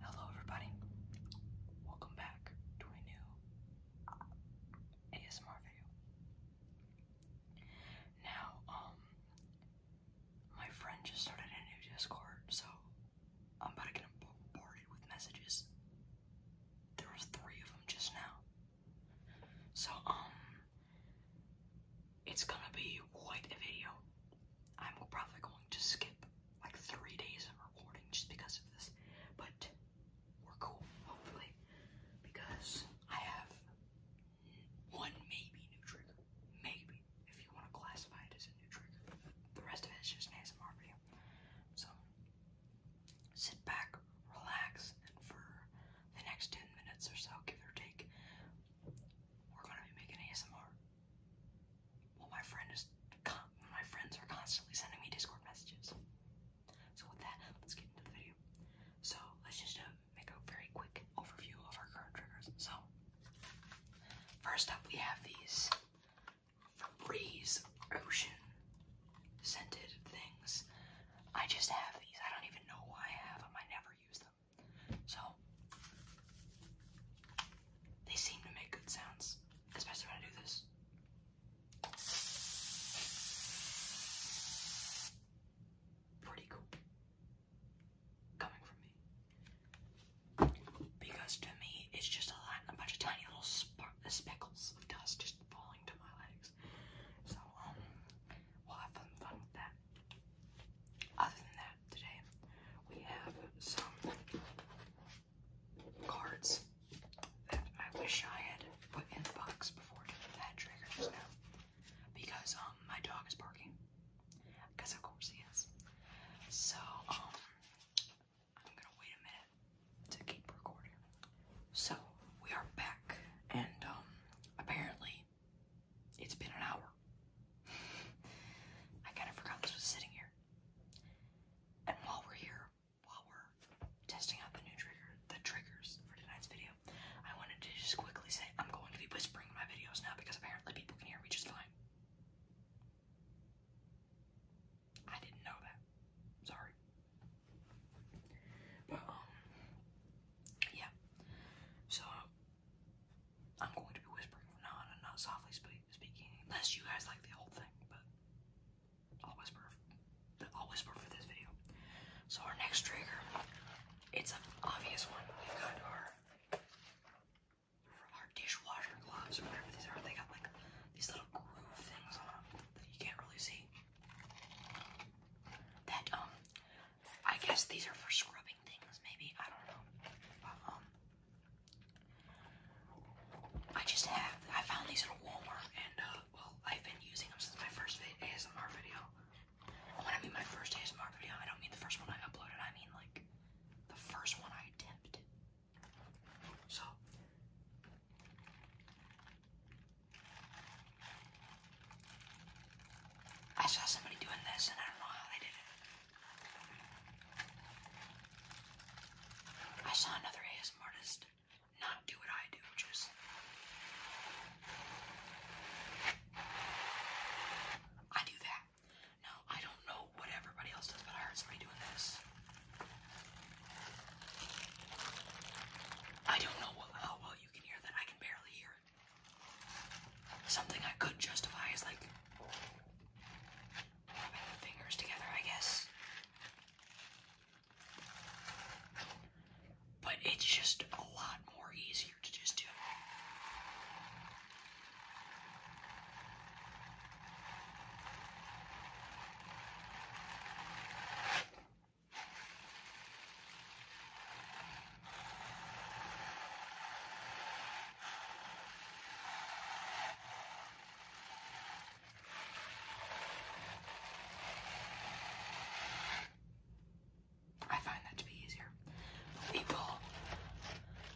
Hello, everybody. Welcome back to a new ASMR video. Now, um, my friend just started a new Discord, so I'm about to get bombarded with messages. There was three of them just now. So, um, it's gonna be quite a video. I'm probably going to skip like three days of recording just because of this, but we're cool, hopefully, because I have one maybe new trigger, maybe, if you want to classify it as a new trigger. The rest of it is just an ASMR video. So, sit back, relax, and for the next 10 minutes or so, give or take, we're going to be making ASMR. Well, my friend my friends are constantly sending me Discord messages. So with that, let's get into the video. So let's just uh, make a very quick overview of our current triggers. So first up, we have these breeze Ocean scented things. I just have these. I don't even know why I have them. I never use them. So they seem to make good sounds, especially when I do this. Pretty cool. Coming from me. Because to me, it's just a, lot, a bunch of tiny little spark uh, speckles of dust just falling to my legs. So, um, we'll have some fun with that. Other than that, today. We have some cards that I wish I had put in the box before doing that trigger now. Because um my dog is barking. Because of course he is. So um I'm gonna wait a minute to keep recording. So we are back and um, apparently it's been an hour. I kind of forgot this was sitting here. And while we're here, while we're testing out the new trigger, the triggers for tonight's video, I wanted to just quickly say I'm going to be whispering my videos now because apparently people can hear me just fine. I didn't know that. Sorry. But um yeah. So I'm going to be whispering from now on and not softly spe speaking, unless you guys like the old thing. But I'll whisper. I'll whisper for this video. So our next trigger, it's an obvious one. We've got our our dishwasher gloves, or whatever these are. They got like these little groove things on them that you can't really see. That um, I guess these are for scrubbing things. Maybe I don't know. But, um, I just have, I found these at Walmart and, uh, well, I've been using them since my first ASMR video. when I mean my first ASMR video, I don't mean the first one I uploaded, I mean like the first one I attempted. So, I saw somebody doing this and I don't know how they did it. I saw another ASM artist not do what I do, Just I do that. Now I don't know what everybody else does, but I heard somebody doing this. I don't know how well you can hear that. I can barely hear it. Something I could justify is like fingers together, I guess. But it's just a lot more easier to just do. I find that to be easier. We will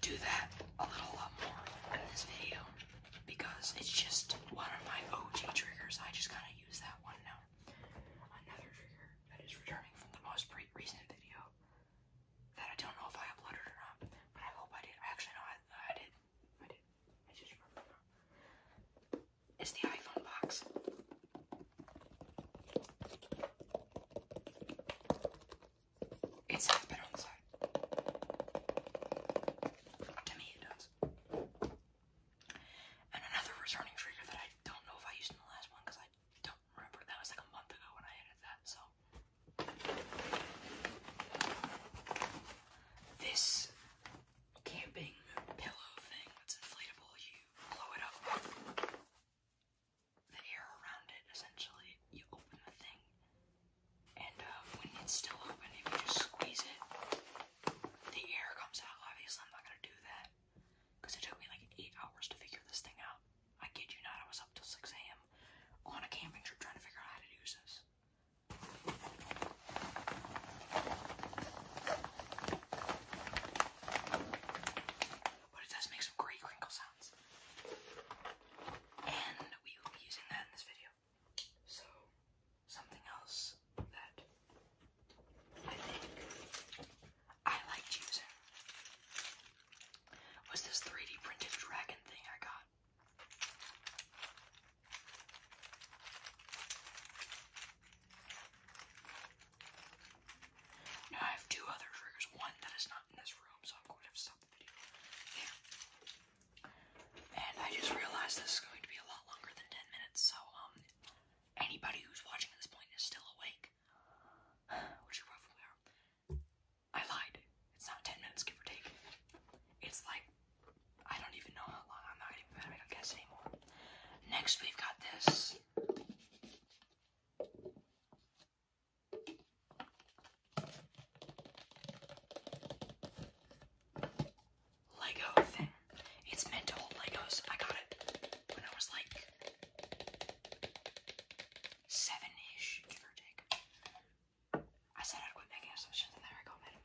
do that a little lot more in this video because it's just one of my OG triggers. I just kind of use that one now. Another trigger that is returning from the most pre recent video that I don't know if I uploaded or not, but I hope I did. Actually, no, I, did. I did. I just remember. It's the iPhone box. It's half been on the side. To me, it does. And another returning trigger that I don't know if I used in the last one because I don't remember. That was like a month ago when I edited that, so. This camping pillow thing that's inflatable, you blow it up. The air around it, essentially, you open the thing, and uh, when it's still open, if you just squeeze it, the air comes out. Obviously, I'm not gonna do that because it took me like eight hours to figure this thing out. I kid you not, I was up till 6 a.m. on a camping trip trying to figure out how to use this. But it does make some great crinkle sounds. And we will be using that in this video. So, something else that I think I liked using was this 3D printed dragon thing I got. I have two other triggers, one that is not in this room, so I'm going to have to stop And I just realized this is going to be a lot longer than 10 minutes, so um, anybody who's watching at this point is still awake, which you probably are. I lied. It's not 10 minutes, give or take. It's like, I don't even know how long. I'm not even gonna make a guess anymore. Next, we've got this. Lego thing. It's meant Legos. I got it when I was like seven-ish, give or take. I said I'd quit making assumptions, and there I go, made an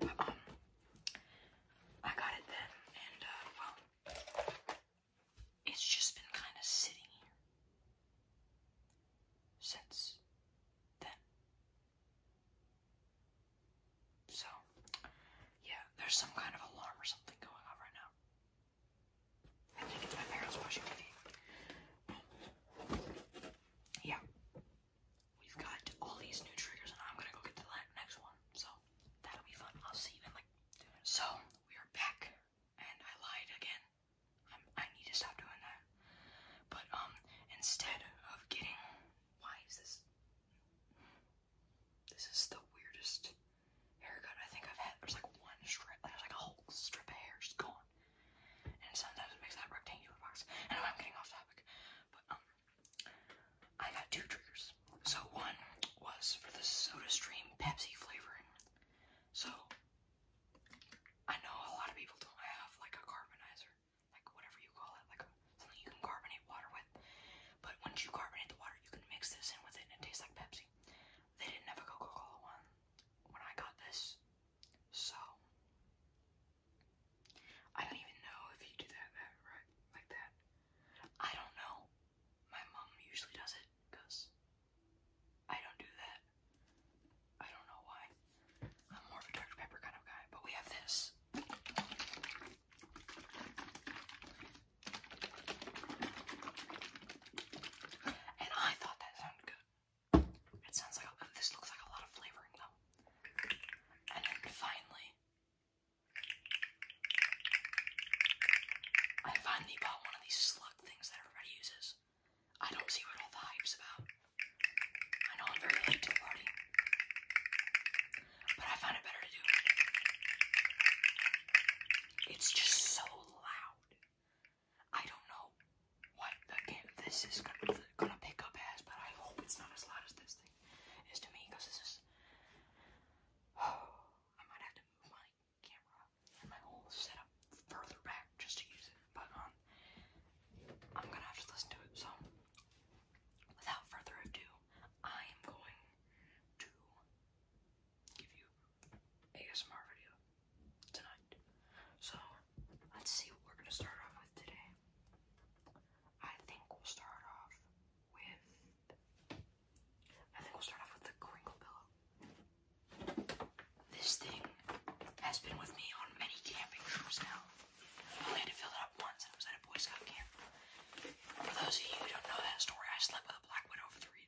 But, um, I got it then, and, uh, well, it's just been kind of sitting here since then. So, yeah, there's some kind of alarm or something going on right now. I think it's my parents washing my Yeah. We've got all these new triggers, and I'm gonna go get the next one. So that'll be fun. I'll see you in like So we are back, and I lied again. i I need to stop doing that. But um, instead of getting, why is this? This is the weirdest haircut I think I've had. There's like one strip. There's like a whole strip of hair just gone. And sometimes it makes that rectangular box. I I'm getting off topic, but um, I got two triggers. So one was for the SodaStream Pepsi flavoring. So I know a lot of people don't have like a carbonizer, like whatever you call it, like something you can carbonate water with. But once you carbonate the water, you can mix this in with it, and it tastes like Pepsi. They didn't have a Coca-Cola one, when I got this. So I don't even know if you do that, that right like that. I don't know. My mom usually does it because I don't do that. I don't know why. I'm more of a Dr. Pepper kind of guy, but we have this. And I thought that sounded good. It sounds like a, this looks like a lot of flavoring though. And then finally, I finally bought one of these slug things that everybody uses. I don't see what all the hype's about. I know I'm very late to but I found it better to do It's just so loud. I don't know what again this is gonna, pick up as, but I hope it's not as loud as this thing is to me, because this is. I might have to move my camera and my whole setup further back just to use it, but um, I'm gonna have to listen to it. So, without further ado, I am going to give you ASMR video tonight. So let's see what we're gonna start off with today. I think we'll start off with I think we'll start off with the crinkle pillow. This thing has been with me on many camping trips now. I only had to fill it up once and it was at a Boy Scout camp. For those of you who don't know that story, I slept with a black widow for three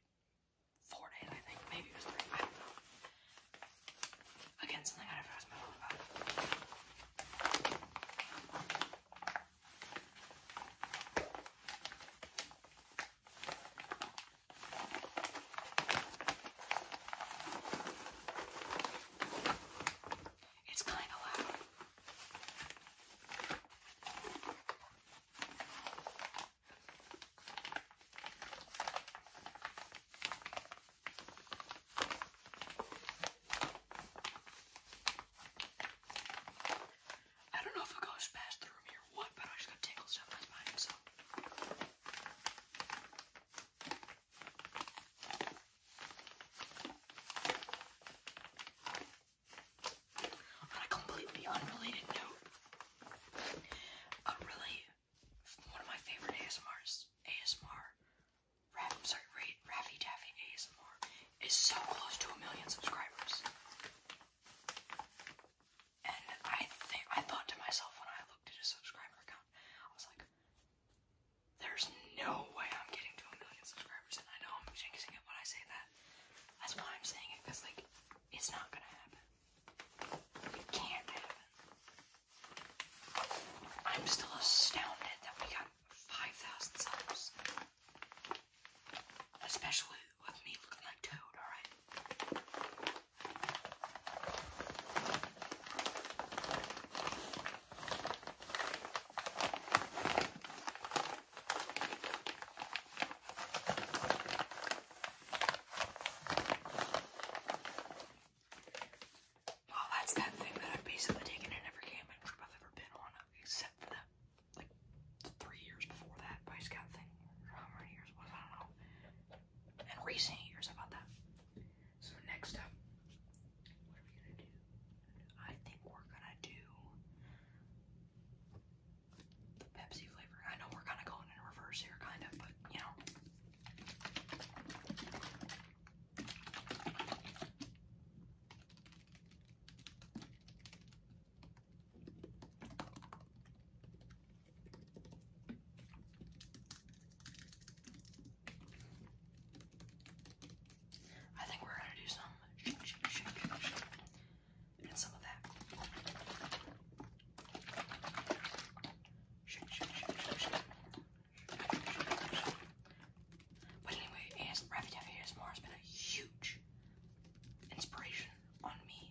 four days, I think. Maybe it was three. I don't know. Again, something I never asked my mom It's kind of loud. I don't know if it goes past the room here or what, but I just got tingles down my spine, On a completely unrelated note, a really one of my favorite ASMRs, ASMR, Rav, sorry, Raffy Daffy ASMR, is so close to a million subscribers. And I I thought to myself when I looked at his subscriber account, I was like, "There's no way I'm getting to a million subscribers." And I know I'm jinxing it when I say that. That's why I'm saying it, because like, it's not gonna happen. You can't have I'm still astounded that we got 5,000 subs. Especially with me looking like Toad, alright? Oh, that's that thing that I've basically taken in every camping trip I've ever been on, except for that, like, three years before that Boy Scout thing. How many years was I don't know. And recent years about that. So next up, what are we gonna do? I think we're gonna do Pepsi flavor. I know we're kind of going in reverse here, kind of, but you know. I think we're gonna do some shake, shake, shake, and some of that. Shake, shake, shake, shake, shake. But anyway, AS, Ravi Taffy ASMR has been a huge inspiration on me.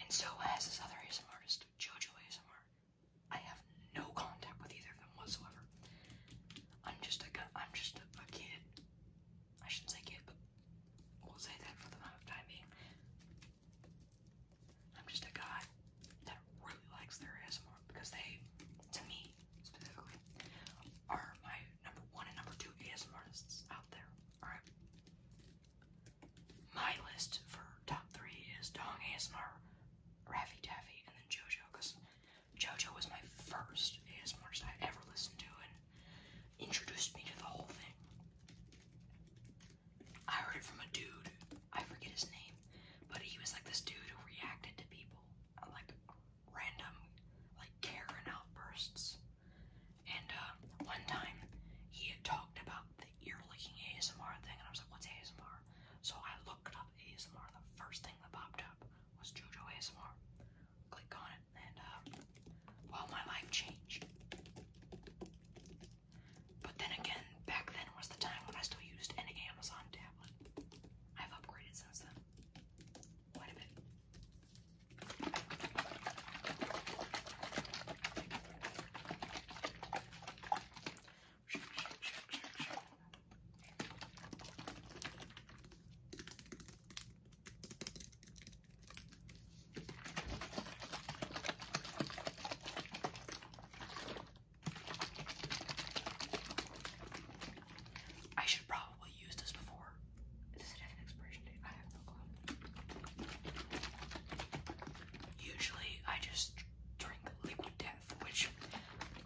And so has this other ASMR artist, Jojo ASMR. I have no contact with either of them whatsoever. I'm just a, I'm just a, a kid I shouldn't say give, but we'll say that for the time being. I'm just a guy that really likes their ASMR because they, to me are my number one and number two ASMR artists out there. Alright? My list for top three is Dong ASMR, Raffy Daffy, and then JoJo because JoJo was my first ASMR artist I ever listened to, introduced me to the whole thing. I heard it from a dude. I forget his name, but he was like this dude who reacted to people uh, like random, like care and outbursts. And uh, one time he had talked about the ear licking ASMR thing, and I was like, "What's ASMR?" So I looked up ASMR. The first thing that popped up was JoJo ASMR. Click on it and um, my life changed. But then again, back then was the time when I still used an Amazon tablet. I've upgraded since then quite a bit. I should probably use this before. Does it have an expiration date? I have no clue. Usually, I just drink liquid death, which,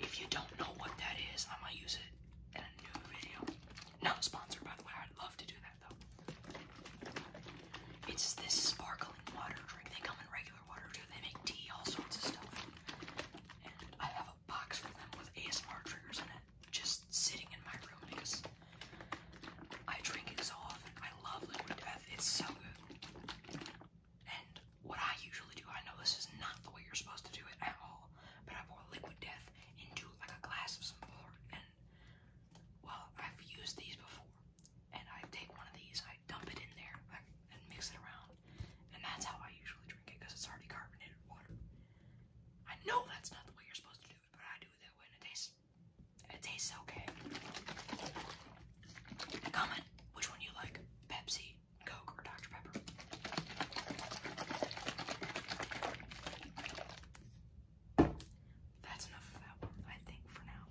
if you don't know what that is, I might use it in a new video. Not sponsored, by the way. I'd love to do it's this sparkling water drink. They come in regular water too. They make tea, all sorts of stuff. And I have a box for them with ASMR triggers in it, just sitting in my room because I drink it so often. I love Liquid Death. It's so good. And what I usually do, I know this is not the way you're supposed to do it at all, but I pour Liquid Death into like a glass of some water and well, I've used these before, and I take one of these, I dump it in there, and mix it around, and that's how I usually drink it because it's already carbonated water. I know that's not the way you're supposed to do it, but I do it that way, and it tastes, it tastes okay. Comment which one you like, Pepsi, Coke, or Dr Pepper. That's enough of that I think, for now.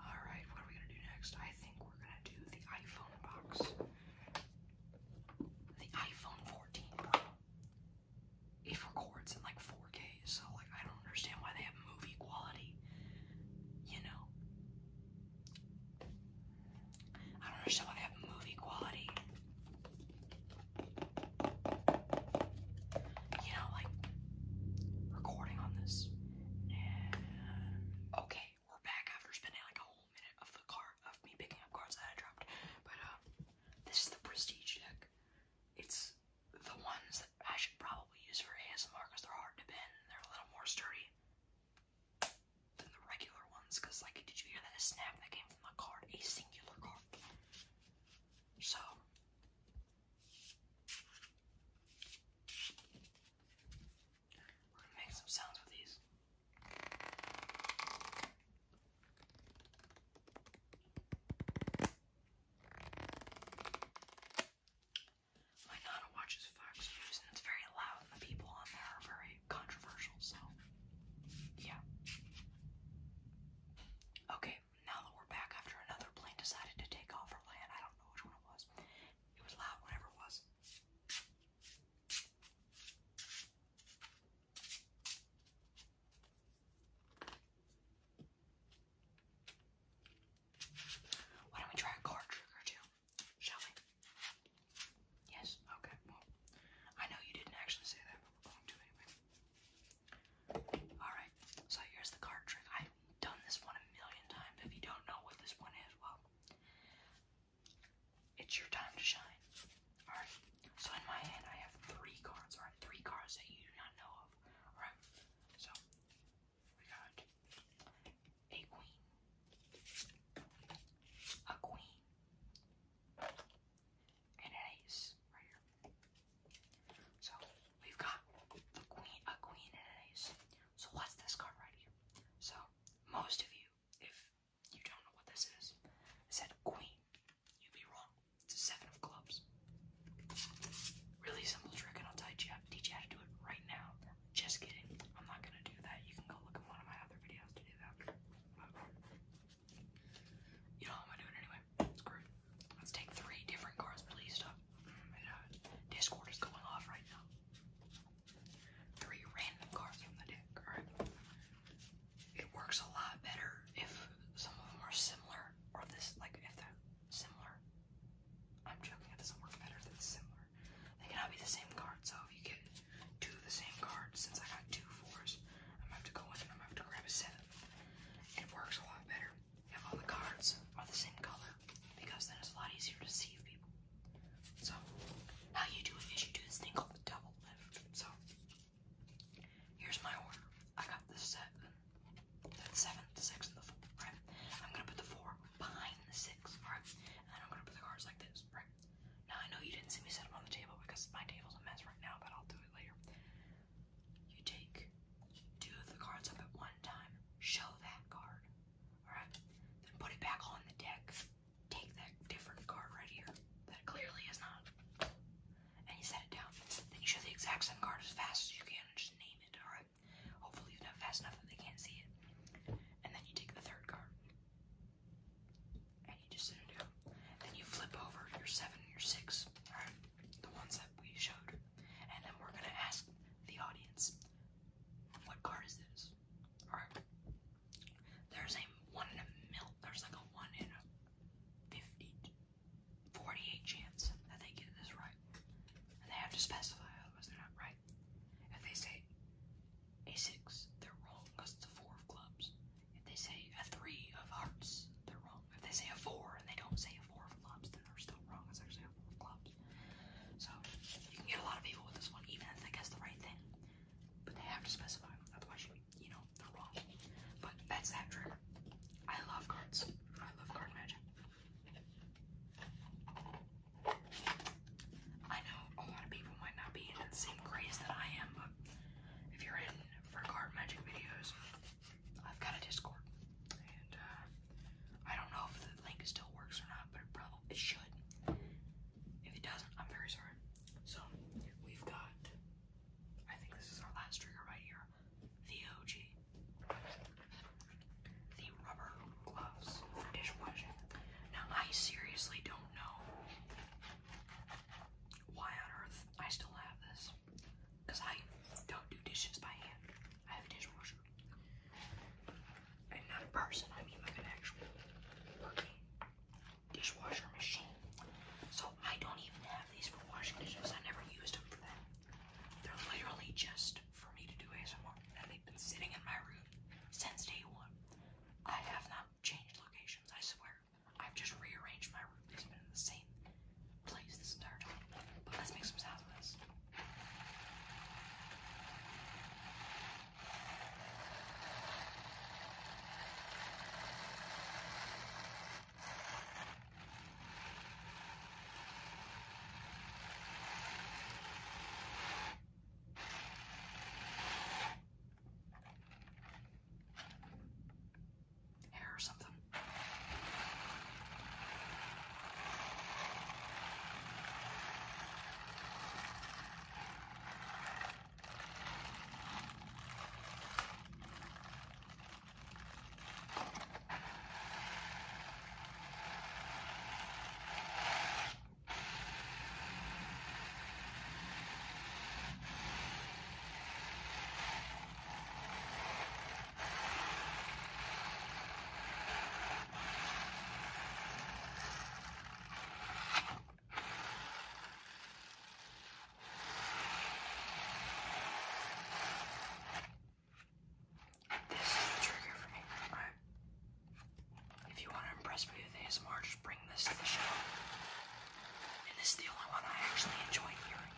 Alright, what are we gonna do next? I think we're gonna do the iPhone box. The iPhone 14 Pro. It records in like 4K, so like I don't understand why they have movie quality. You know. I don't understand why they have movie quality you know, like recording on this. okay, we're back after spending like a whole minute of the car of me picking up cards that I dropped. But uh, this is the prestige deck. It's the ones that I should probably use for ASMR because they're hard to bend. they're a little more sturdy than the regular ones. Cause like, did you hear that snap that came from the card? A singular card. So we're gonna make some sounds with these. My nana watches Fox News and it's very loud the people on there are very controversial, so yeah. Okay, now that we're back after another plane decided to take off or land, I don't know which one it was. It was loud, whatever it was. Why don't we try a card trick or two? Shall we? Yes? Okay, well, I know you didn't actually say that, but we're going to anyway. Alright, so here's the card trick. I've done this one a million times. If you don't know what this one is, well, it's your time to shine. Alright, so in my hand I have three cards, alright, three cards that you do not know of. Alright, so we got a queen, a queen, and an ace right here. So we've got the queen, a queen, and an ace. So what's this card right here? So most of you, if you don't know what this is, said queen. You'd be wrong. It's a seven of clubs. Really simple trick, and I'll teach you, teach you how to do it right now. Just kidding. I'm not gonna do that. You can go look at one of my other videos to do that. You know, I'm going anyway. Screw it. Let's take three different cards, please. Stop. Uh, Discord is going off right now. Three random cards from the deck, alright? It works a lot better if some of them are similar, or this, like, if they're similar. I'm joking, it doesn't work better if similar. They cannot be the same card, so if you get two the same cards, since I got two fours, have to go in and I'm have to grab a 7 it works a lot better if all the cards are the same color because then it's a lot easier to deceive people. So, how you do it is you do this thing called the double lift. So, here's my order. I got the set, the seven, the six, and the four, I'm gonna put the four behind the six, alright? And then I'm gonna put the cards like this, Now, I know you didn't see me set them on the table because my table's a mess right now, but I'll do it later you take two of the cards up at one time, show that card, alright? Then put it back on the deck, take that different card right here that clearly is not, and you set it down. Then you show the exact same card as fast as you can and just name it, alright? Hopefully, you are done fast enough that they can't see it. And then you take the third card. And you just sit it Then you flip over your seven and your six. Alright the ones that we showed, and then we're gonna ask the audience, what card is this? Alright. There's a one in a mil there's like a one in a 50 48 chance that they get this right. And they have to specify, otherwise they're not right. If they say a six, they're wrong because it's a four of clubs. If they say a three of hearts, they're wrong. If they say a four and they don't say a four of clubs, then they're still wrong. It's actually a four of clubs. So you can get a lot of people with this one, even if they guess the right thing. But they have to specify, otherwise you know they're wrong. But that's that trick. I love cards. I love card magic. I know a lot of people might not be in the same craze that I am, but if you're in for card magic videos, I've got a Discord, and uh, I don't know if the link still works or not, but it probably it should. If it doesn't, I'm very sorry. So we've got. I think this is our last trigger right here. The OG, the rubber gloves for dishwashing. Now I seriously don't know why on earth I still have this. Because I don't do dishes by hand. I have a dishwasher. And not a person, I mean like an actual dishwasher machine. So I don't even have these for washing dishes. I never used them for that. They're literally just for me to do ASMR. And they've been sitting in my room since day one. I have not changed locations, I swear. I've just rearranged my room. It's been in the same place this entire time. But let's make some sounds hair or something. This is the trigger for me. Alright. If you want to impress me with ASMR, just bring this to the show. And this is the only one I actually enjoy hearing.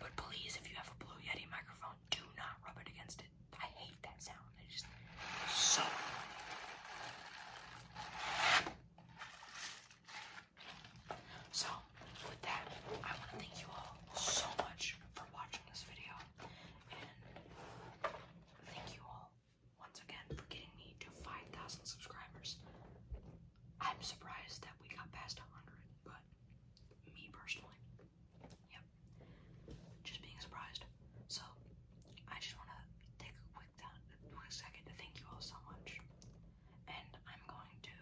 But please, if you have a Blue Yeti microphone, do not rub it against it. I hate that sound. It just so So, with that, I want to thank you all so much for watching this video. And thank you all once again for getting me to 5,000 subscribers. I'm surprised that we got past 100, but me personally, yep, just being surprised. So, I just want to take a quick, down, quick second to thank you all so much. And I'm going to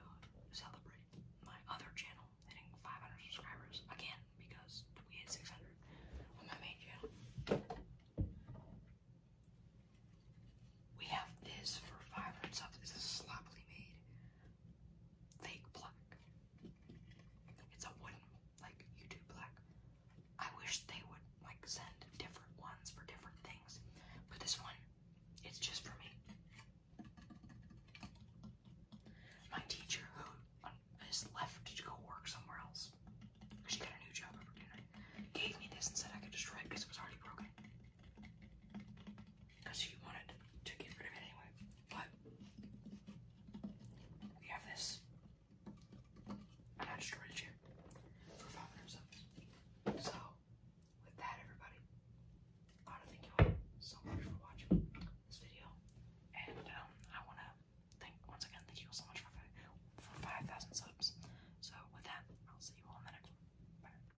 celebrate my other channel hitting 500 subscribers again because we hit 600 on my main channel. We have this for five hundred subs. This is sloppily made fake block. It's a wooden like YouTube plaque. I wish they would like send different ones for different things, but this one, it's just for me. My teacher, who just left to go work somewhere else, cause she got a new job over opportunity, gave me this and said I could destroy it because it was already broken because he wanted to get rid of it anyway. But we have this, and I destroyed it here for five hundred subs. So with that, everybody, I want to thank you all so much for watching this video, and um, I want to thank once again thank you all so much for for five thousand subs. So with that, I'll see you all in the next one. Bye.